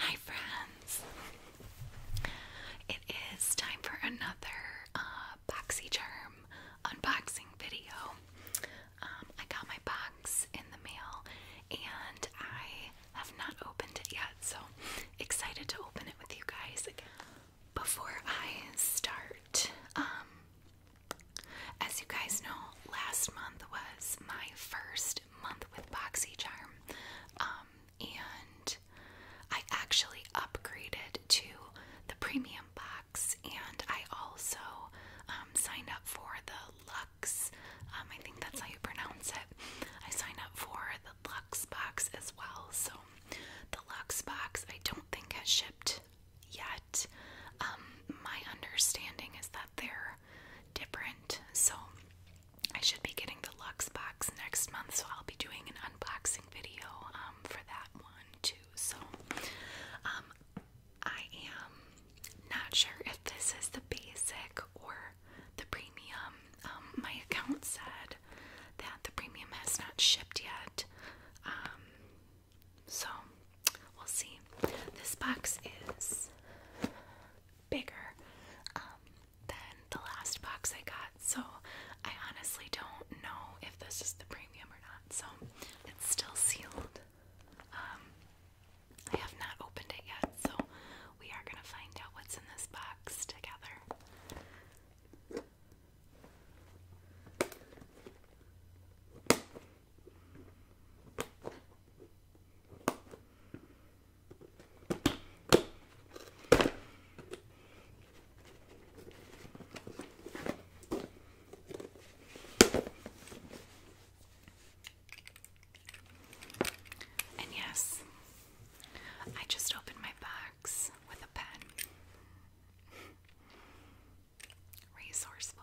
Hi, friends. It is time for another uh, BoxyCharm unboxing video. Um, I got my box in the mail and I have not opened it yet, so excited to open it with you guys Before I start, um, as you guys know, last month was my first month with Boxy Charm, um, and I actually upgraded to the premium box, and I also signed up for the um, I think that's how you pronounce it. I signed up for the Lux box as well. So the Lux box I don't think has shipped yet. Um, my understanding is that they're different. So I should be getting the Lux box next month. So I'll be doing an unboxing video um, for that one too. So I am not sure if this is the basic or the premium. Um, my account said that the premium has not shipped yet. Um, so we'll see. This box is bigger um, than the last box I got, so I honestly don't know if this is the premium or not. So it's still sealed. I have not opened it yet, so we are going to find out what's in this box together. And yes, I just opened my box with a pen. Resourceful.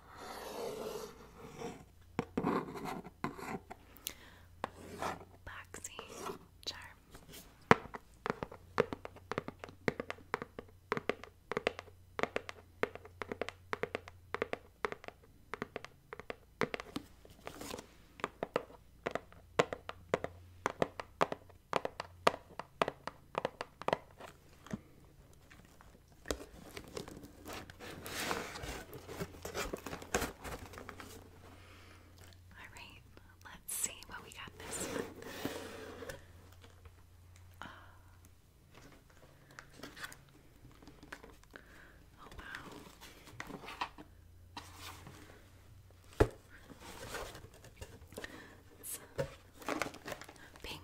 Boxy charm. Alright, let's see what we got this month. oh wow. Uh, pink.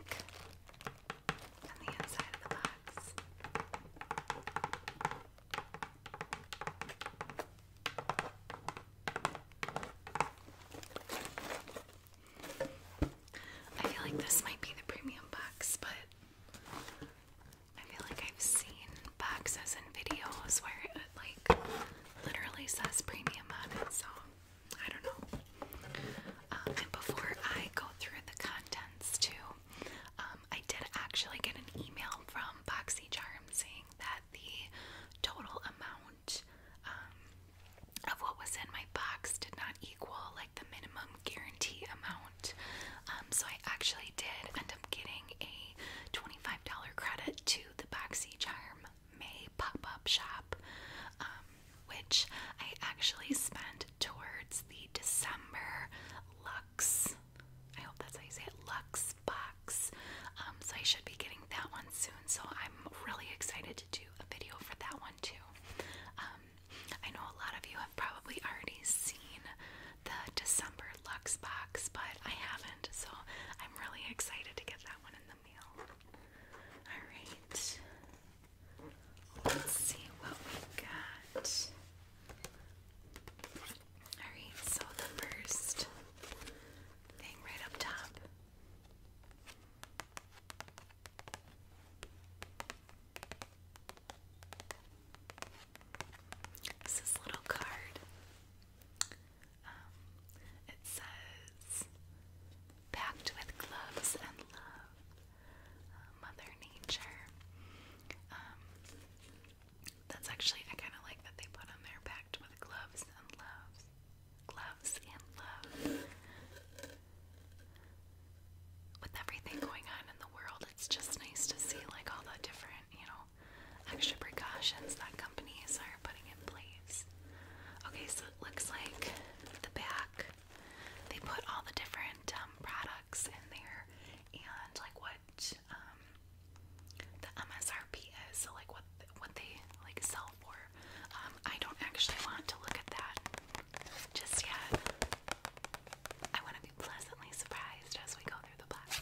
I feel like this might be the premium box, but I feel like I've seen boxes and videos where it like literally says premium on it, so I don't know. Um, and before I go through the contents too, um, I did actually get an email from Boxy Charm saying that the total amount um, of what was in my box did not equal like the minimum guarantee amount. so I actually did end up getting a $25 credit to the Boxy Charm May pop up shop, um, which I actually spent towards the December Lux. I hope that's how you say it, Lux box. Um, so I should be getting that one soon. So I'm really excited to do a video for that one too. Um, I know a lot of you have probably already seen the December Lux box, but I haven't. So I'm really excited to get that one in the meal. Alright. Let's see what we got. Alright, so the first thing right up top. is this little card. Um, it says, packed with gloves and love, uh, Mother Nature. Um, that's actually, I kind of like that they put on there, packed with gloves and love. Gloves and love. With everything going on in the world, it's just nice to see like all the different, you know, extra precautions that companies are putting in place. Okay, so looks like the back. They put all the different um, products in there and like what um, the MSRP is, so like what what they like sell for. Um, I don't actually want to look at that just yet. I want to be pleasantly surprised as we go through the box.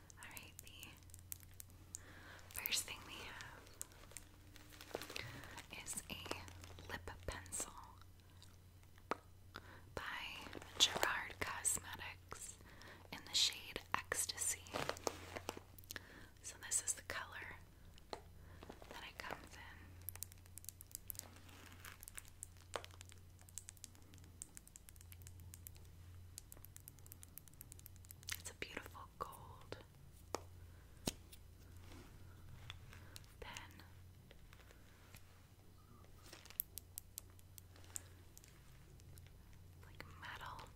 Alright, the first thing we have is a lip pencil by Gerard Cosmetics in the shade Ecstasy. So, this is the color that it comes in. It's a beautiful gold. Then like metal,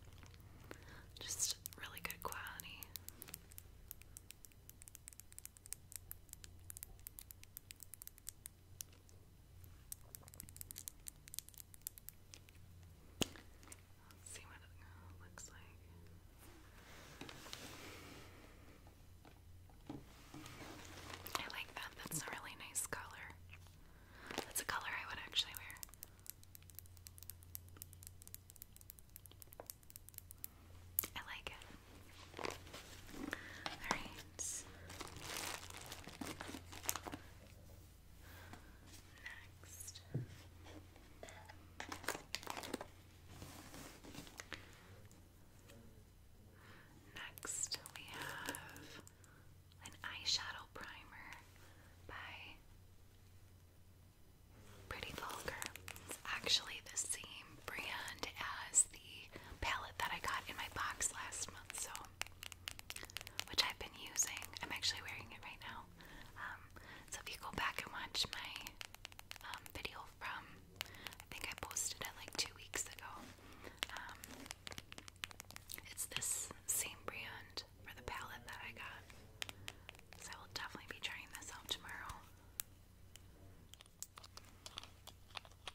just really good quality see what it looks like. I like that. That's a really nice color. That's a color I would actually wear. I like it. Alright, Next. Next, we have an eyeshadow primer by Pretty Vulgar. It's actually the same brand as the palette that I got in my box last month, so which I've been using. I'm actually wearing it right now. Um, so if you go back and watch my um, video from, I think I posted it like two weeks ago. Um, it's this same brand for the palette that I got. So I will definitely be trying this out tomorrow.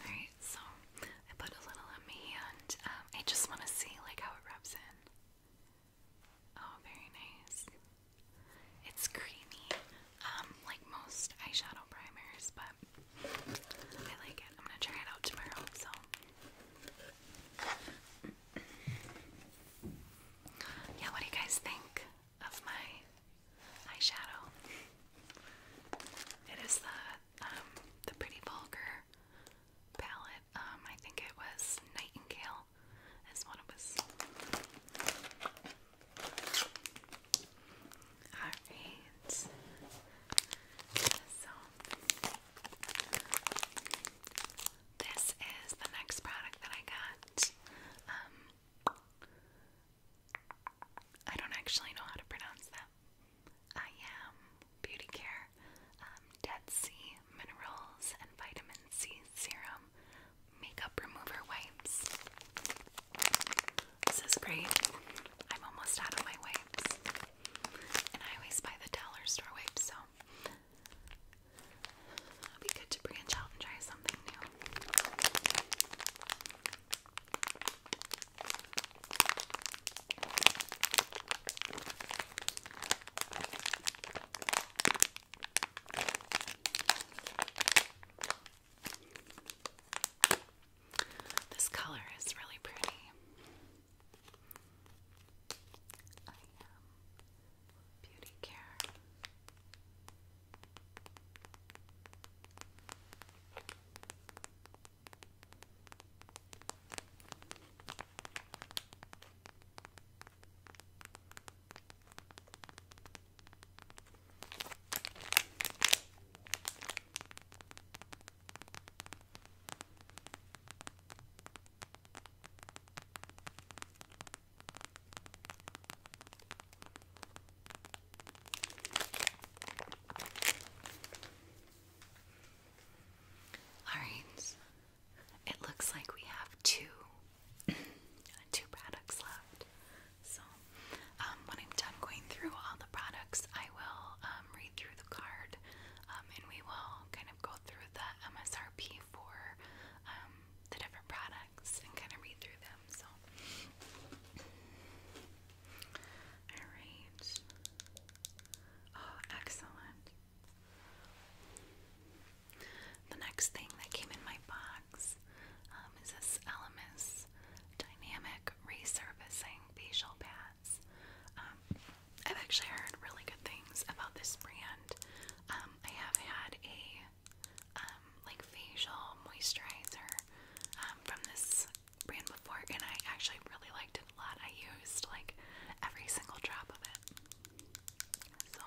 Alright, so I put a little on my hand. Um, I just want to see like how it rubs in. Oh, very nice. It's creamy, um, like most eyeshadow primers, but I like it. I'm gonna try it out tomorrow, so yeah, what do you guys think of my eyeshadow? It is the um, the pretty vulgar palette. Um, I think it was Nightingale is what it was. Alright. So this is the next product that I got. Um, I don't actually know how to pronounce that. I am Beauty Care um, Dead Sea Minerals and Vitamin C Serum Makeup Remover Wipes. This is great. I'm almost out of my wipes. And I always buy the dollar store wipes, so it'll be good to branch out and try something new. This color is really pretty. I am beauty care. All right. It looks like we have two two products left. So, um, when I'm done going through all the products, I will um, um, read through the card, um, and we will kind of go through the MSRP for um, the different products and kind of read through them. So, all right. Oh, excellent. The next thing that came in my box is this Elemis Dynamic Resurfacing Facial Pad has. Um, I've actually heard really good things about this brand. Um, I have had a um, like facial moisturizer um, from this brand before, and I actually really liked it a lot. I used like every single drop of it. So.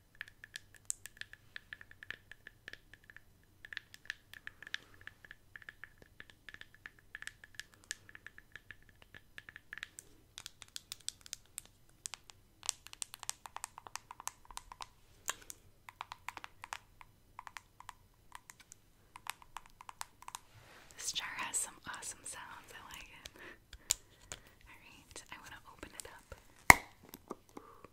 This jar has some awesome sounds. I like it. All right, I want to open it up.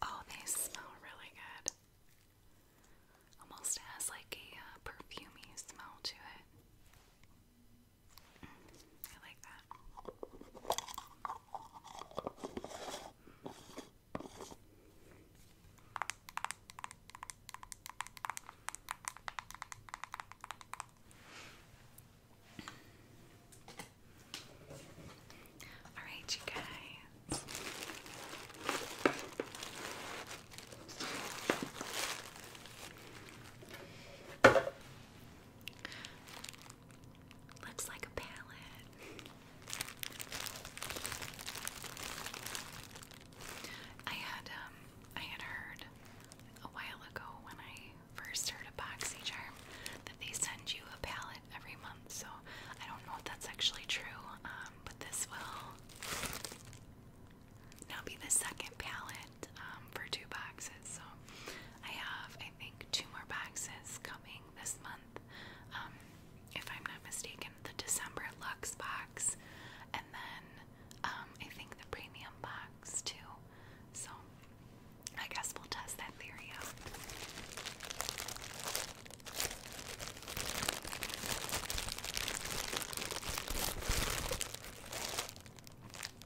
Oh, they smell really good. Almost has like a uh, perfumey smell to it. Mm, I like that. All right, you guys. Looks like a palette. I had um I had heard a while ago when I first heard of BoxyCharm that they send you a palette every month, so I don't know if that's actually true, um, but this will now be the second palette um, for two boxes. So I have, I think, two more boxes coming this month. Um, if I'm not mistaken, the December Lux box, and then um, I think the premium box too. So I guess we'll test that theory out.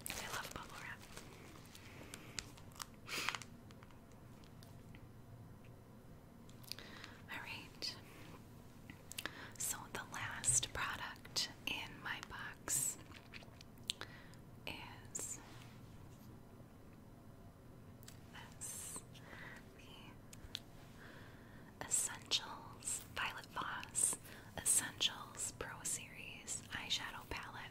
I love bubble wrap. Alright, so the last product in my box is this the Essentials Violet Voss Essentials Pro Series Eyeshadow Palette.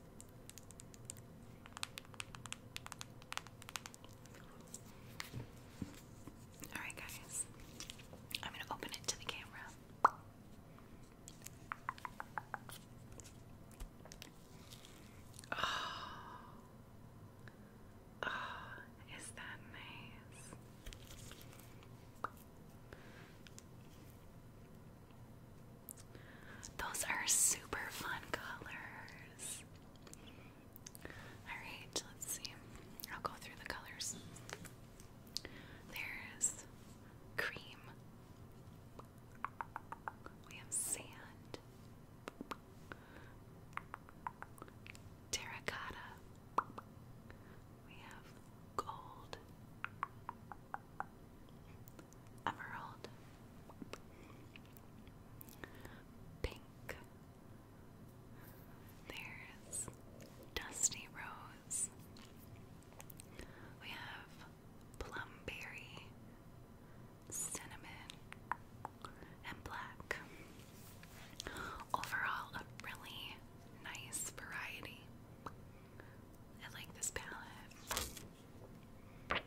Alright, guys, I'm going to open it to the camera. Oh. Oh, is that nice? Those are super fun colors. Alright, let's see. I'll go through the colors. There's cream. We have sand. Terracotta. We have gold emerald, pink. There's dusty rose. We have plumberry, cinnamon, and black. Overall, a really nice variety. I like this palette. Alright.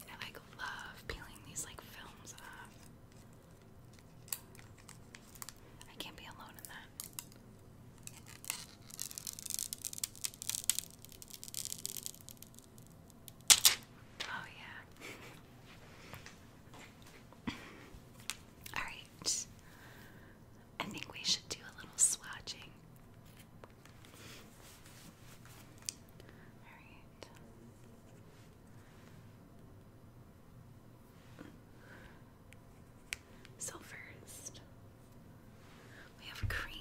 let I like love peeling these like films off. I can't be alone in that. Oh, yeah. Alright. I think we should do a little swatching. Alright. So, first, we have cream.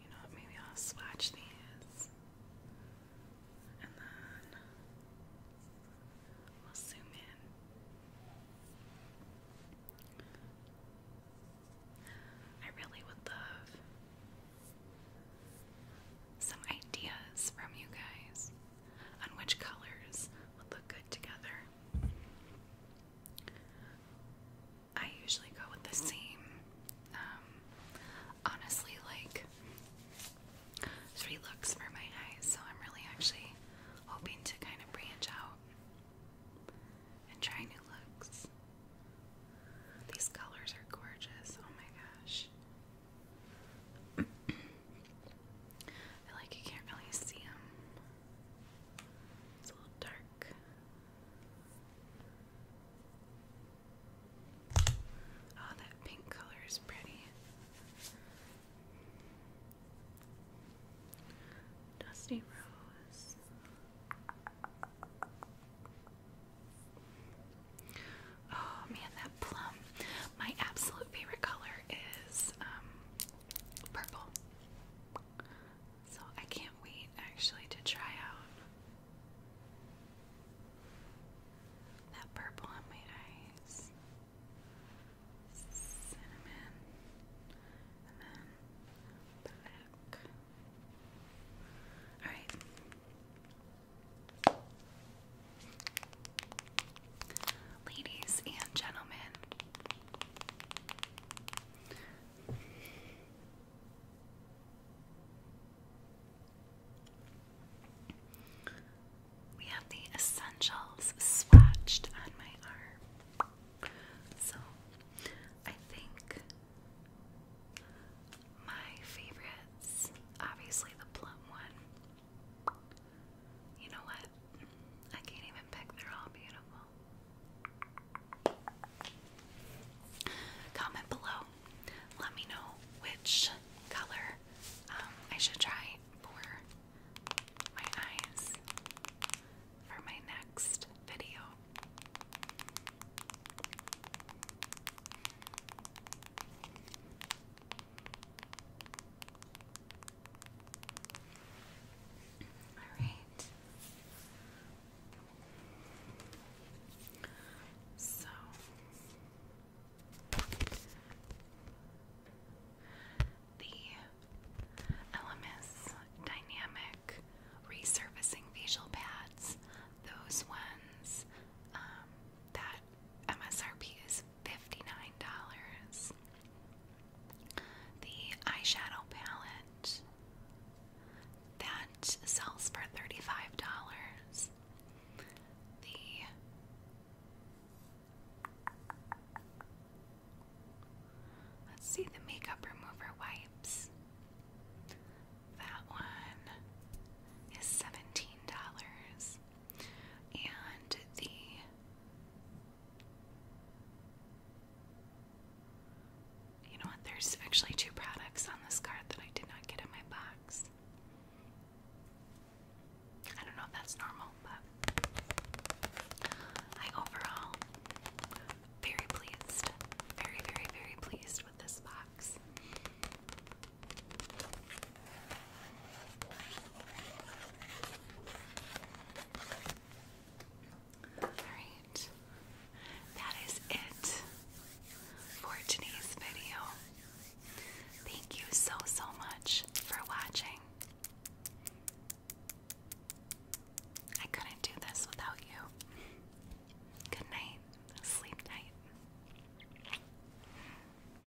You know Maybe I'll swatch these. And then we'll zoom in. I really would love some ideas from you guys on which colors would look good together. I usually go with the same. Um, honestly, like three looks for my eyes, so I'm really actually hoping to kind of branch out and try new looks. These colors are gorgeous. Oh my gosh. I like you can't really see him. It's a little dark. Oh, that pink color is pretty. Dusty Rose. Oh man, that plum. My absolute favorite color is um, purple. So I can't wait actually to try out that purple on my eyes. Cinnamon and then black. Alright. Ladies and gentlemen, we have the essentials swatched on my arm. So I think my favorites, obviously the plum one, you know what? I can't even pick, they're all beautiful. Comment below. Let me know which color um, I should try for my eyes for my next video. All right. So the LMS dynamic resurfacing facial pads, those ones, um, that MSRP is $59. The eyeshadow palette that sells for $35. The Let's see the makeup remover wipes. That one is $17 and the you know what? There's actually two products on this card that I did not get in my box. I don't know if that's normal, but I overall very pleased. Very, very, very pleased with this box. Alright, that is it for today's video. Thank you so, so much for watching. I couldn't do this without you. Good night, sleep tight.